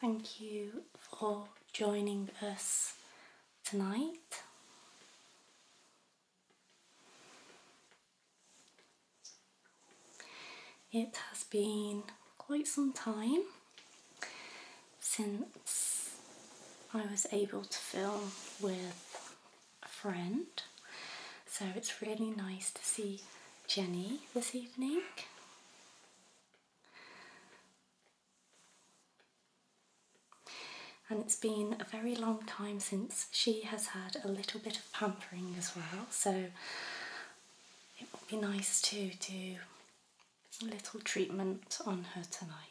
Thank you for joining us tonight. It has been quite some time since I was able to film with a friend, so it's really nice to see Jenny this evening. And it's been a very long time since she has had a little bit of pampering as well, so it would be nice to do a little treatment on her tonight.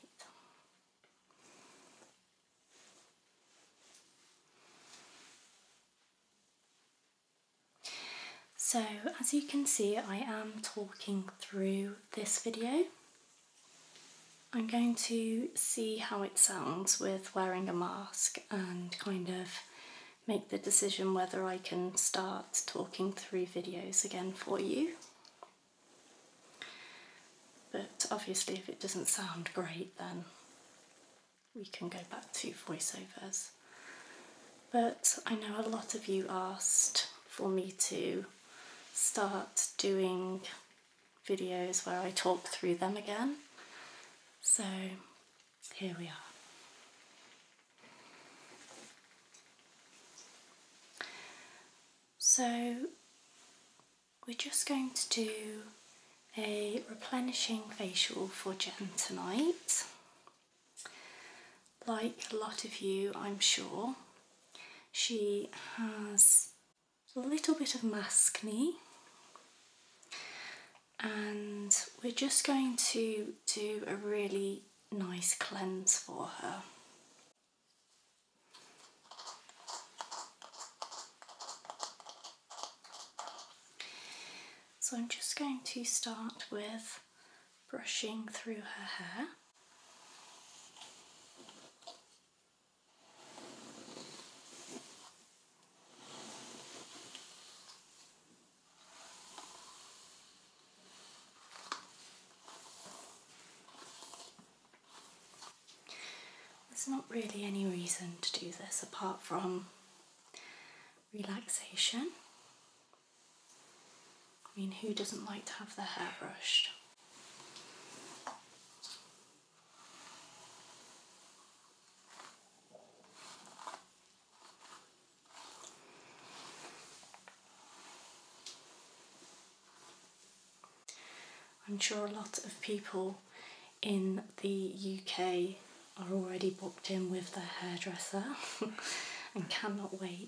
So as you can see I am talking through this video. I'm going to see how it sounds with wearing a mask and kind of make the decision whether I can start talking through videos again for you. But obviously if it doesn't sound great then we can go back to voiceovers. But I know a lot of you asked for me to start doing videos where I talk through them again. So here we are. So we're just going to do a replenishing facial for Jen tonight. Like a lot of you, I'm sure, she has a little bit of maskne and we're just going to do a really nice cleanse for her. So I'm just going to start with brushing through her hair. There's not really any reason to do this apart from relaxation. I mean, who doesn't like to have their hair brushed? I'm sure a lot of people in the UK are already booked in with their hairdresser and cannot wait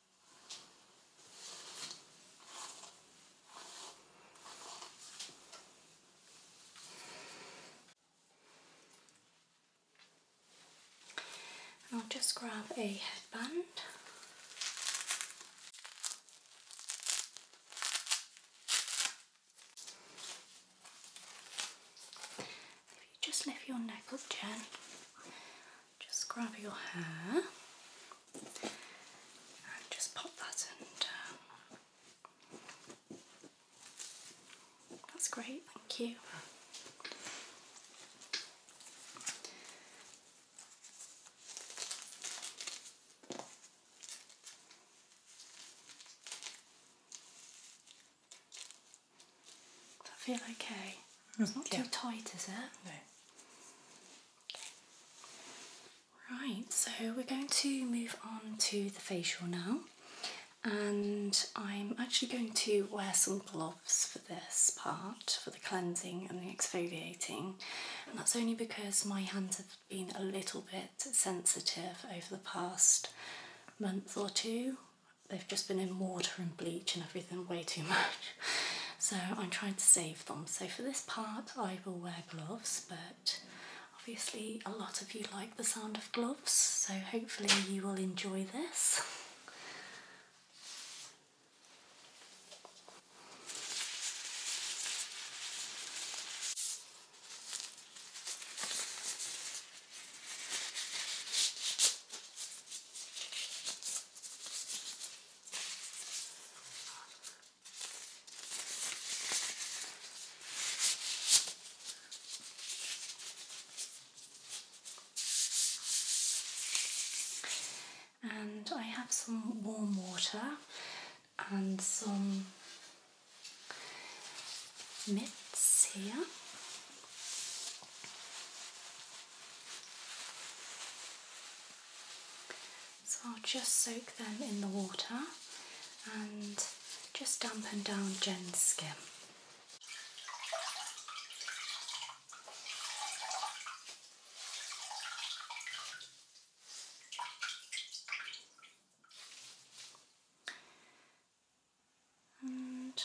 I'll just grab a headband. If you just lift your neck up, just grab your hair and just pop that in That's great, thank you. Does that feel okay? Mm, it's not too tight, is it? No. Right, so we're going to move on to the facial now. And I'm actually going to wear some gloves for this part, for the cleansing and the exfoliating. And that's only because my hands have been a little bit sensitive over the past month or two they've just been in water and bleach and everything way too much. So I'm trying to save them. So for this part, I will wear gloves, but obviously a lot of you like the sound of gloves, so hopefully you will enjoy this. And I have some warm water and some mitts here. So I'll just soak them in the water and just dampen down Jen's skin. And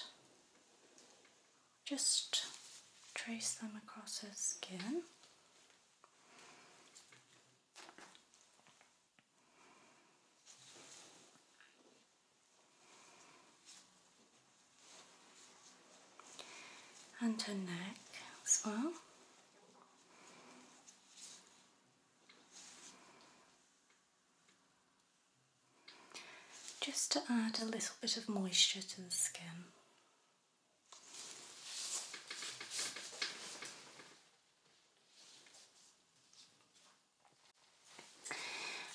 just trace them across her skin. And her neck as well just to add a little bit of moisture to the skin.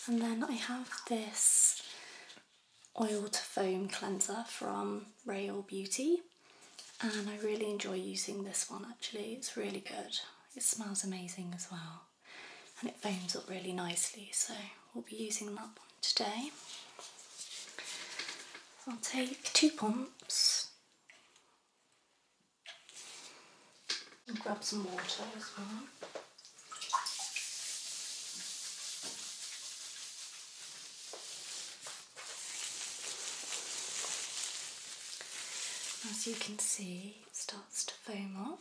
And then I have this oil to foam cleanser from Rail Beauty and I really enjoy using this one actually, it's really good. It smells amazing as well and it foams up really nicely. So we'll be using that one today. I'll take two pumps and grab some water as well. As you can see, it starts to foam up.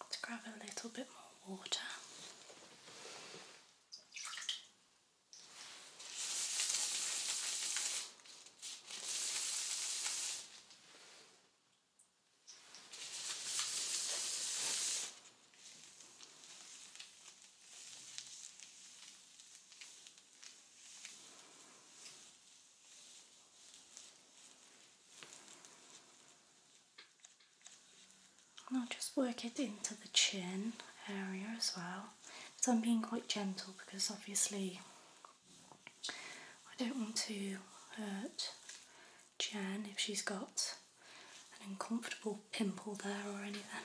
let grab a little bit more water. And I'll just work it into the chin area as well. So I'm being quite gentle because obviously I don't want to hurt Jan if she's got an uncomfortable pimple there or anything.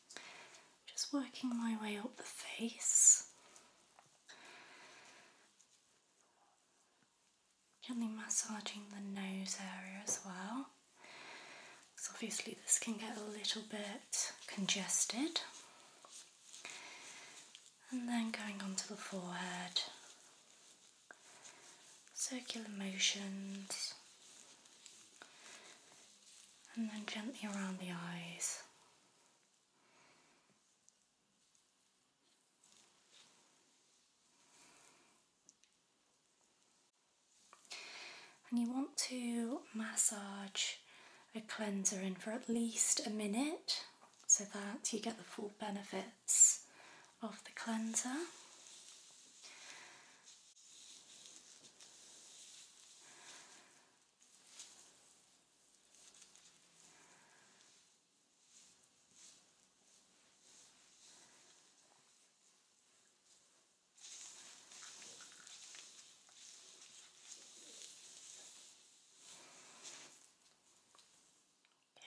Just working my way up the face. Gently massaging the nose area as well, because obviously this can get a little bit congested. And then going onto the forehead, circular motions, and then gently around the eyes. And you want to massage a cleanser in for at least a minute so that you get the full benefits of the cleanser.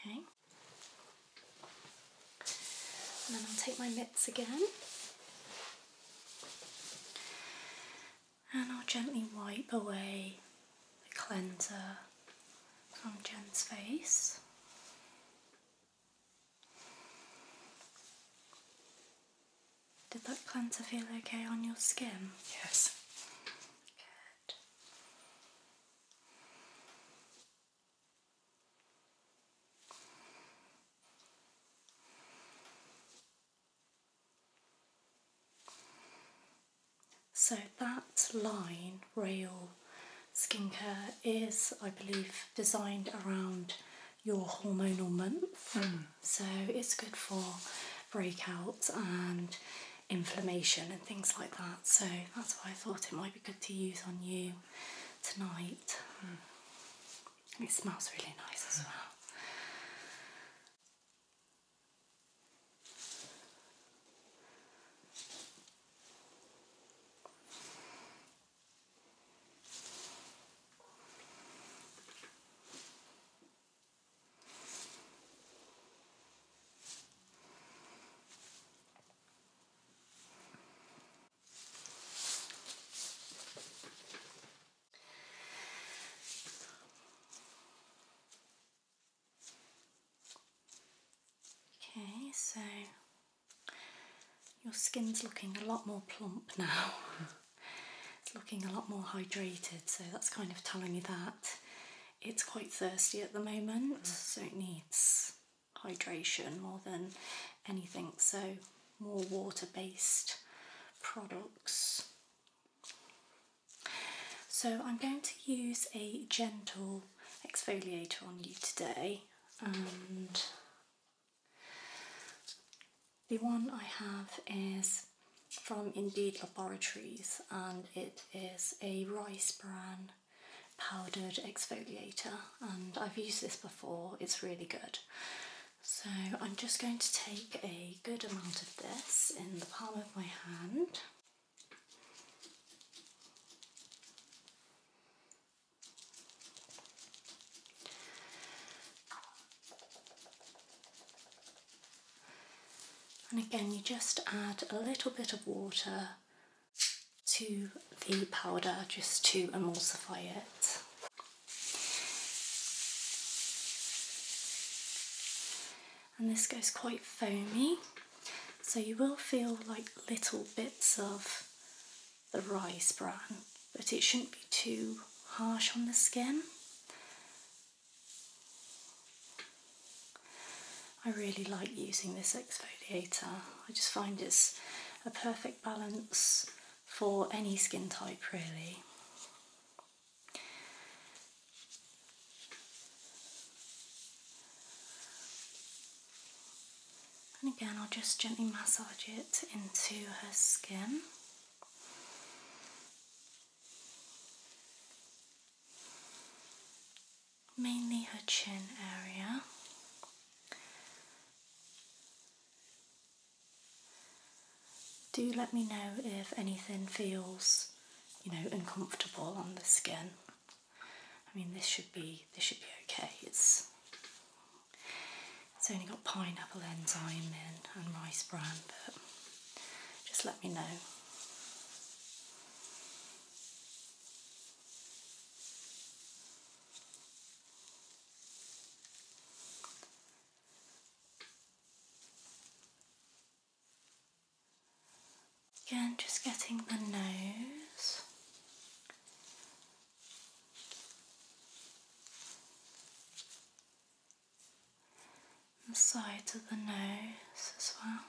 Okay. And then I'll take my mitts again and I'll gently wipe away the cleanser from Jen's face. Did that cleanser feel okay on your skin? Yes. Good. So that line, Rail Skincare, is, I believe, designed around your hormonal month. Hmm. So it's good for breakouts and inflammation and things like that. So that's why I thought it might be good to use on you tonight. Hmm. It smells really nice as well. Okay, so your skin's looking a lot more plump now. it's looking a lot more hydrated, so that's kind of telling you that it's quite thirsty at the moment, mm. so it needs hydration more than anything. So more water-based products. So I'm going to use a gentle exfoliator on you today and the one I have is from Indeed Laboratories and it is a rice bran powdered exfoliator and I've used this before, it's really good. So I'm just going to take a good amount of this in the palm of my hand. And again, you just add a little bit of water to the powder just to emulsify it. And this goes quite foamy, so you will feel like little bits of the rice bran, but it shouldn't be too harsh on the skin. I really like using this exfoliator. I just find it's a perfect balance for any skin type, really. And again, I'll just gently massage it into her skin. Mainly her chin area. Do let me know if anything feels, you know, uncomfortable on the skin. I mean, this should be this should be okay. It's it's only got pineapple enzyme in and rice bran, but just let me know. Again, just getting the nose. The sides of the nose as well.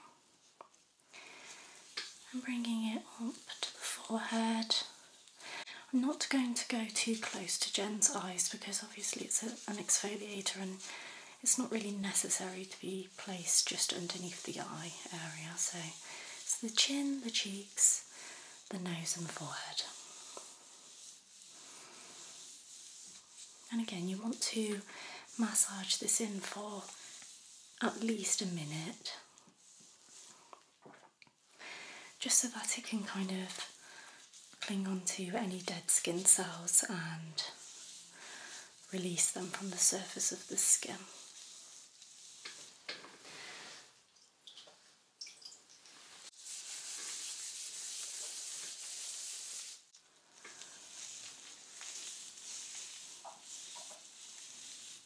And bringing it up to the forehead I'm not going to go too close to Jen's eyes because obviously it's an exfoliator and it's not really necessary to be placed just underneath the eye area. So it's the chin, the cheeks, the nose, and the forehead. And again, you want to massage this in for at least a minute just so that it can kind of cling onto any dead skin cells and release them from the surface of the skin.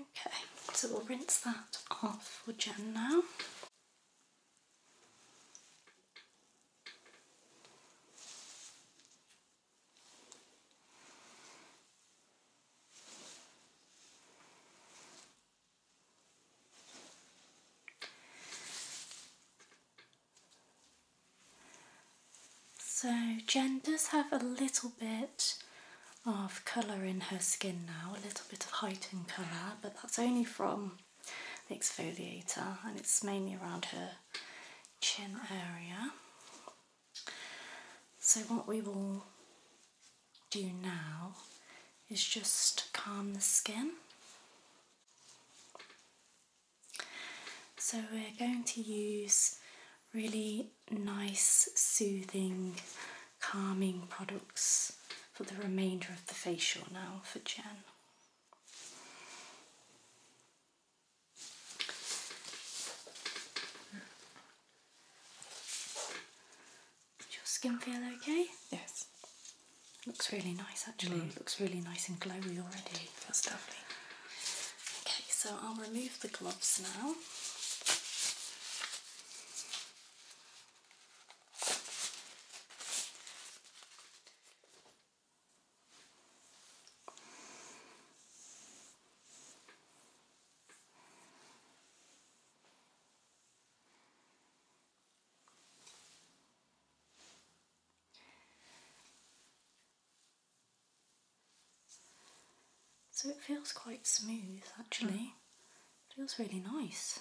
Okay, so we'll rinse that off for Jen now. So Jen does have a little bit of colour in her skin now, a little bit of heightened colour, but that's only from the exfoliator and it's mainly around her chin area. So what we will do now is just calm the skin. So we're going to use really nice, soothing, calming products for the remainder of the facial now for Jen. Does your skin feel okay? Yes. Looks really nice actually. Mm. Looks really nice and glowy already. That's lovely. Okay, so I'll remove the gloves now. So it feels quite smooth actually. Mm. Feels really nice.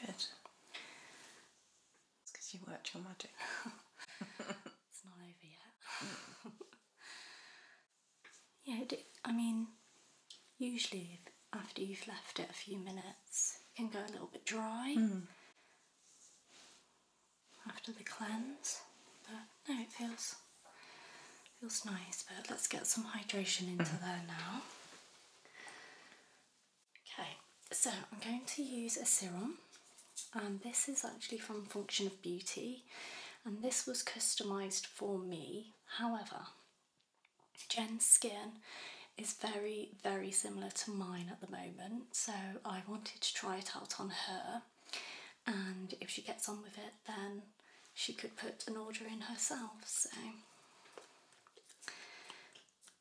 Good. It's because you worked your magic. it's not over yet. yeah, I mean, usually after you've left it a few minutes, it can go a little bit dry. Mm after the cleanse. But no, it feels feels nice. But let's get some hydration into mm-hmm. there now. Okay, so I'm going to use a serum, and this is actually from Function of Beauty, and this was customized for me. However, Jen's skin is very, very similar to mine at the moment, so I wanted to try it out on her and if she gets on with it, then she could put an order in herself. So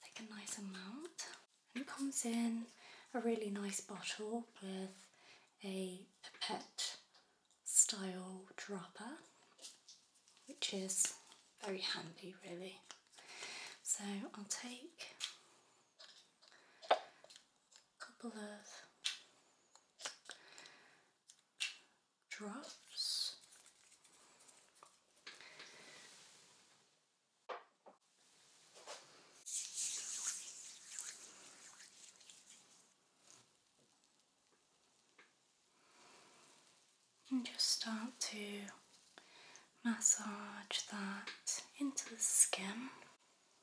take a nice amount, it comes in a really nice bottle with a pipette style dropper, which is very handy, really. So I'll take couple of drops. And just start to massage that into the skin.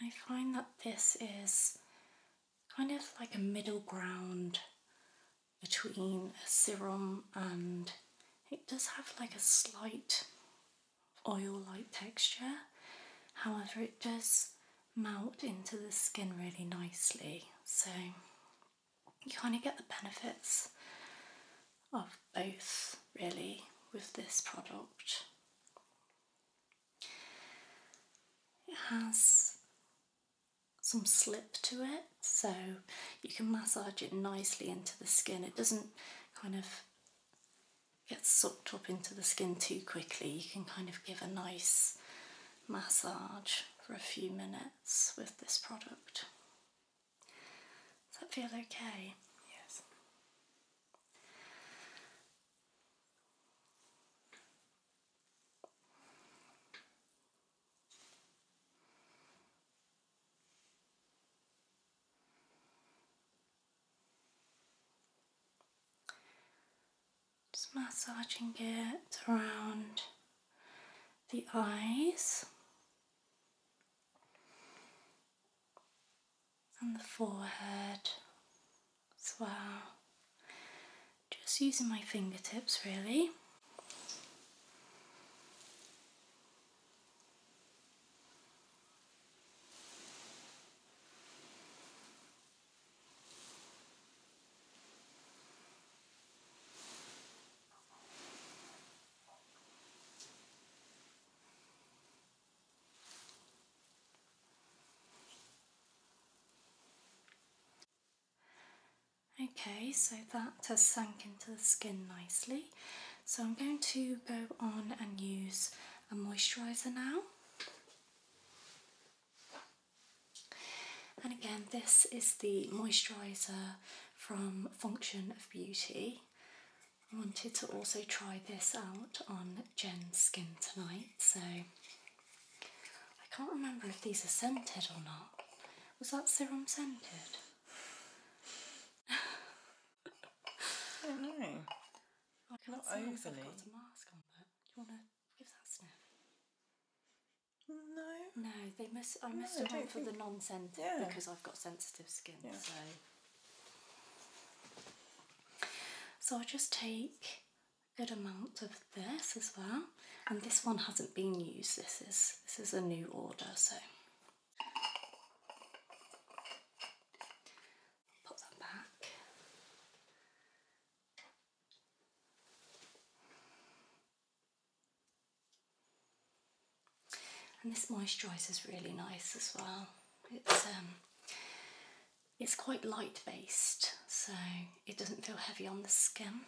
I find that this is kind of like a middle ground between a serum and it does have like a slight oil-like texture. However, it does melt into the skin really nicely. So you kind of get the benefits of both really with this product. It has some slip to it so you can massage it nicely into the skin. It doesn't kind of get sucked up into the skin too quickly. You can kind of give a nice massage for a few minutes with this product. Does that feel okay? Yes. Just massaging it around the eyes, and the forehead as well. Just using my fingertips really. Okay, so that has sunk into the skin nicely. So I'm going to go on and use a moisturiser now. And again, this is the moisturiser from Function of Beauty. I wanted to also try this out on Jen's skin tonight, so I can't remember if these are scented or not. Was that serum scented? I don't know. I can't Not overly. mask on, that no. No, they must. I must have gone for the non scented because I've got sensitive skin. So. So I just take a good amount of this as well, and this one hasn't been used. This is this is a new order, so. Put that back. And this moisturiser is really nice as well. It's um, it's quite light based, so it doesn't feel heavy on the skin,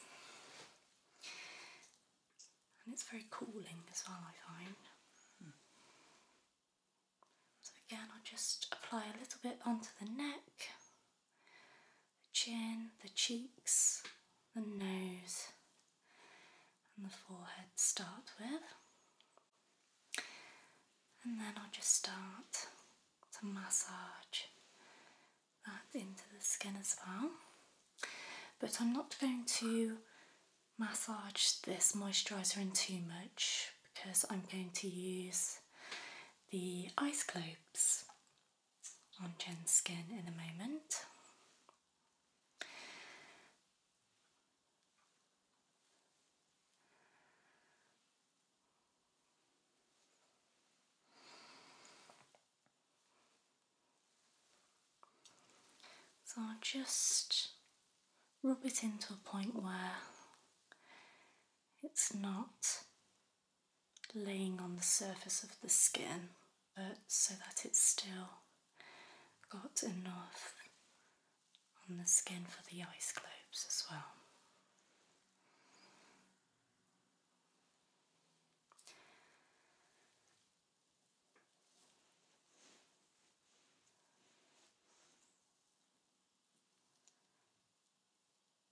and it's very cooling as well. I find. So again, I will just apply a little bit onto the neck the chin, the cheeks, the nose, and the forehead start with. And then I'll just start to massage that into the skin as well. But I'm not going to massage this moisturiser in too much because I'm going to use the ice globes on Jen's skin in a moment. So I'll just rub it into a point where it's not laying on the surface of the skin but so that it's still got enough on the skin for the ice globes as well.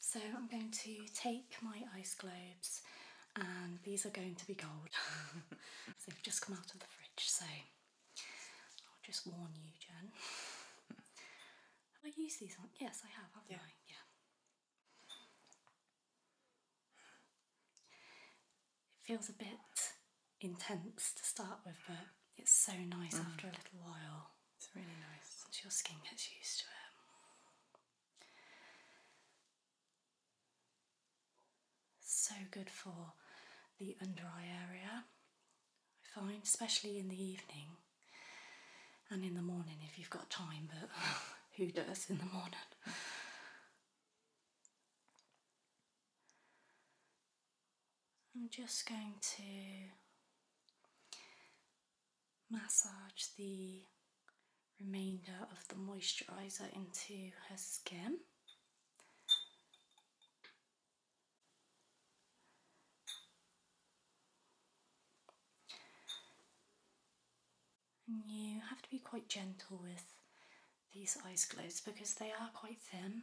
So I'm going to take my ice globes and these are going to be cold. They've just come out of the fridge, so I'll just warn you, Jen. have I used these on? Yes, I have, haven't I? Yeah. It feels a bit intense to start with, but it's so nice mm. after a little while. It's really nice. Once your skin gets used to it. So good for the under eye area, I find, especially in the evening and in the morning if you've got time, but who does in the morning? I'm just going to massage the remainder of the moisturiser into her skin. And you have to be quite gentle with these eyes glows because they are quite thin.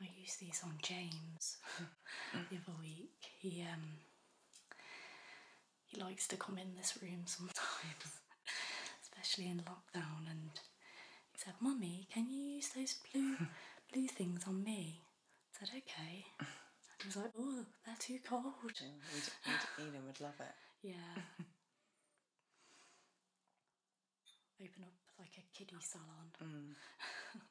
I used these on James the other week. He um he likes to come in this room sometimes, especially in lockdown, and he said, Mummy, can you use those blue blue things on me? I said, Okay. he was like, Oh, they're too cold. We'd, Eden would love it. Yeah. Open up like a kiddie salon. Mm.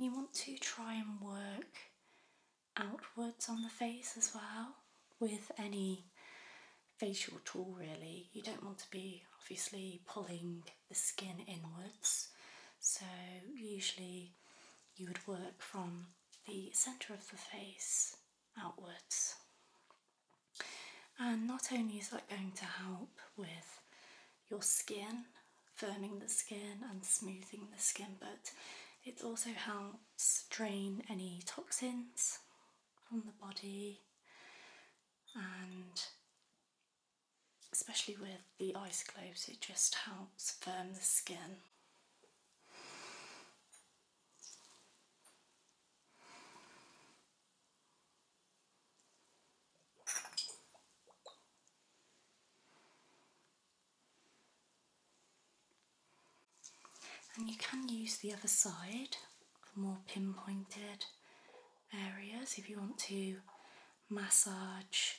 And you want to try and work outwards on the face as well with any facial tool really. You don't want to be obviously pulling the skin inwards, so usually you would work from the centre of the face outwards. And not only is that going to help with your skin, firming the skin and smoothing the skin, but it also helps drain any toxins on the body and especially with the ice gloves, it just helps firm the skin and you can use the other side for more pinpointed areas if you want to massage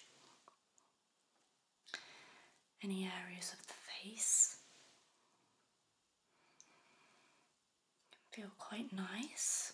any areas of the face. Can feel quite nice.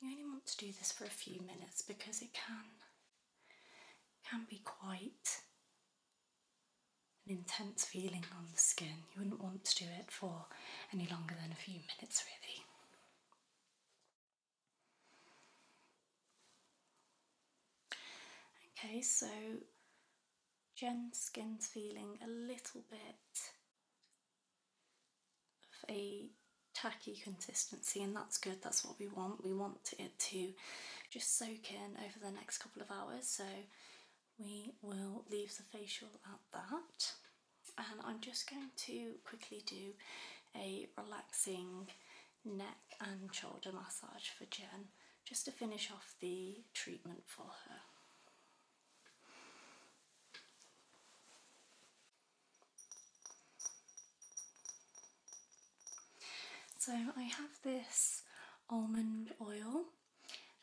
You only want to do this for a few minutes because it can can be quite an intense feeling on the skin. You wouldn't want to do it for any longer than a few minutes really. Okay, so Jen's skin's feeling a little bit a tacky consistency and that's good that's what we want we want it to just soak in over the next couple of hours so we will leave the facial at that and I'm just going to quickly do a relaxing neck and shoulder massage for Jen just to finish off the treatment for her. So I have this almond oil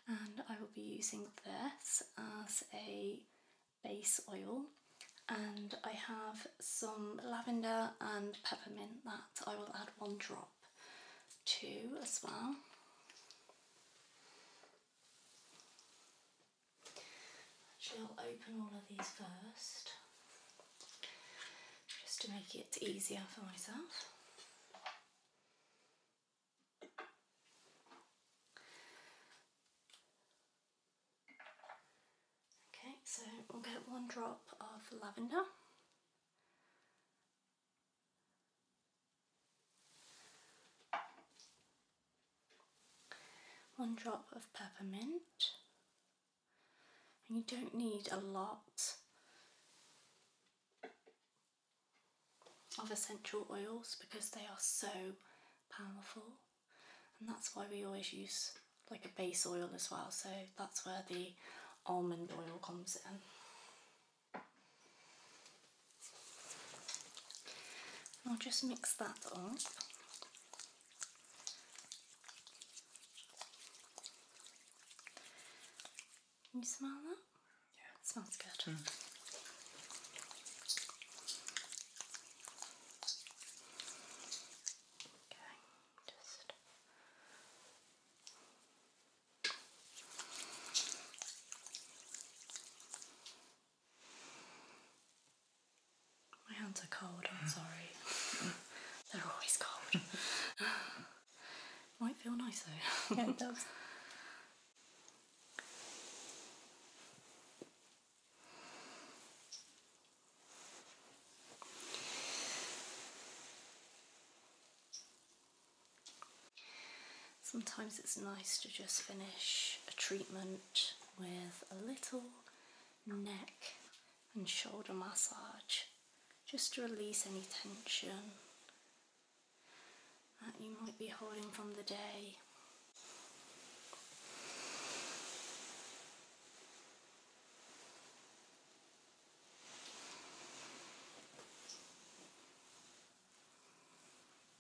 and I will be using this as a base oil and I have some lavender and peppermint that I will add one drop to as well. Actually, I'll open all of these first just to make it easier for myself. Okay, so we'll get one drop of lavender one drop of peppermint, and you don't need a lot of essential oils because they are so powerful, and that's why we always use like a base oil as well. So that's where the almond oil comes in. I'll just mix that up. Can you smell that? Yeah. It smells good. Hmm. Okay, just my hands are cold, I'm sorry. They're always cold. Might feel nice though. Yeah, it does. Sometimes it's nice to just finish a treatment with a little neck and shoulder massage just to release any tension that you might be holding from the day.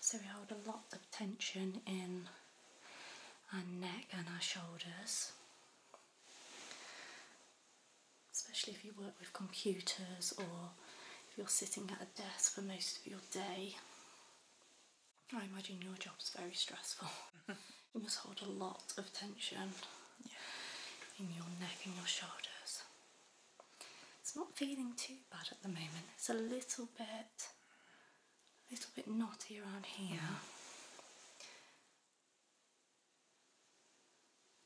So we hold a lot of tension in our neck and our shoulders. Especially if you work with computers or if you're sitting at a desk for most of your day. I imagine your job's very stressful. you must hold a lot of tension in your neck and your shoulders. It's not feeling too bad at the moment, it's a little bit a little bit knotty around here. Mm-hmm.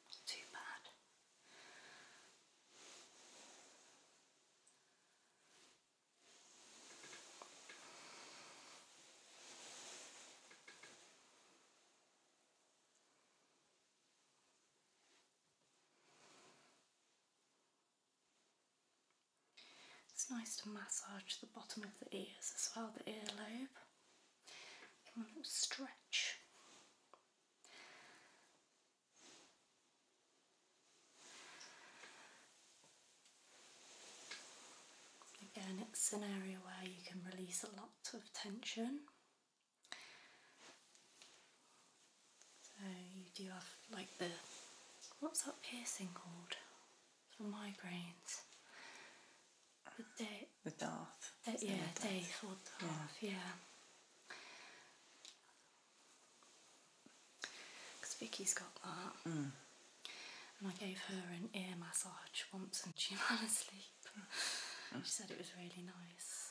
Not too bad. It's nice to massage the bottom of the ears as well, the earlobe. Give them a little stretch. Again, it's an area where you can release a lot of tension. So you do have like the what's that piercing called for migraines? The day. The Darth. yeah, day or Darth. Yeah. Vicky's got that. Mm. And I gave her an ear massage once and she fell asleep. Mm. She said it was really nice.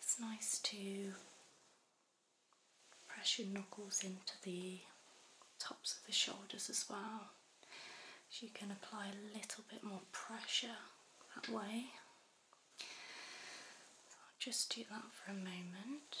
It's nice to press your knuckles into the tops of the shoulders as well. So you can apply a little bit more pressure that way. So I'll just do that for a moment.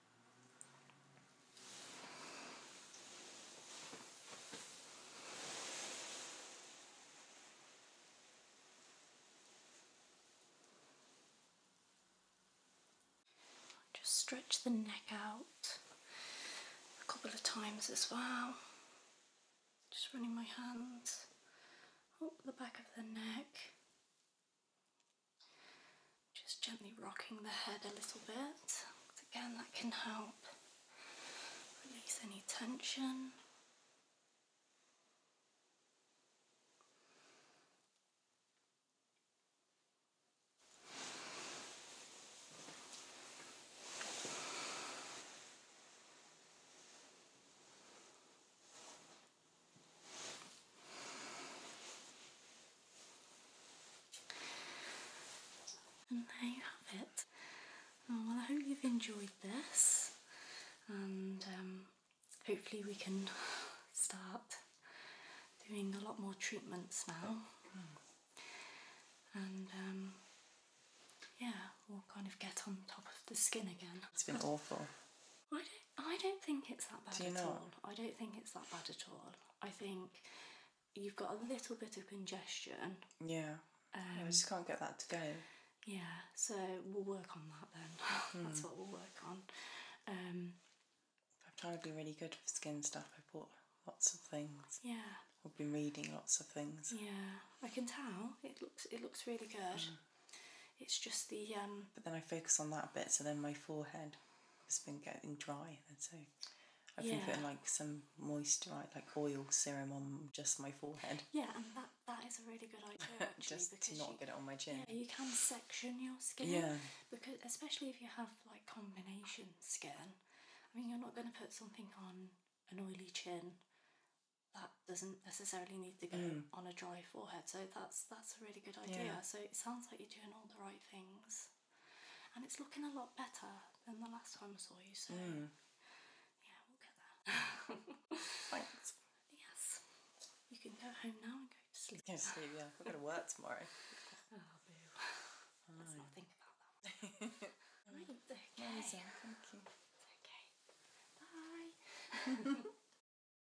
Just stretch the neck out a couple of times as well. Just running my hands up the back of the neck. Just gently rocking the head a little bit. Again, that can help release any tension. And there you have it. Oh, well, I hope you've enjoyed this, and um, hopefully, we can start doing a lot more treatments now. And um, yeah, we'll kind of get on top of the skin again. It's been awful. Why I don't think it's that bad at all. I don't think it's that bad at all. I think you've got a little bit of congestion. Yeah. I um, just can't get that to go. Yeah, so we'll work on that then. That's hmm. what we'll work on. Um, I'm trying to be really good with skin stuff. I bought lots of things. yeah, I've been reading lots of things. yeah. I can tell. It looks it looks really good. Hmm. It's just the. Um, but then I focus on that a bit, so then my forehead has been getting dry, so I've been putting like some moisture, like, oil serum on just my forehead. Yeah, and that, that is a really good idea just to not get it on my chin. you can section your skin. Yeah. Because especially if you have like combination skin, I mean, you're not going to put something on an oily chin that doesn't necessarily need to go mm. on a dry forehead. So that's that's a really good idea. So it sounds like you're doing all the right things, and it's looking a lot better than the last time I saw you. So mm. yeah, we'll get that. Thanks. Yes, you can go home now and go to sleep. Go to sleep. Yeah, we're going to work tomorrow. oh, boo. Oh. Let's not think about that. Okay. Thank you. It's okay. Bye.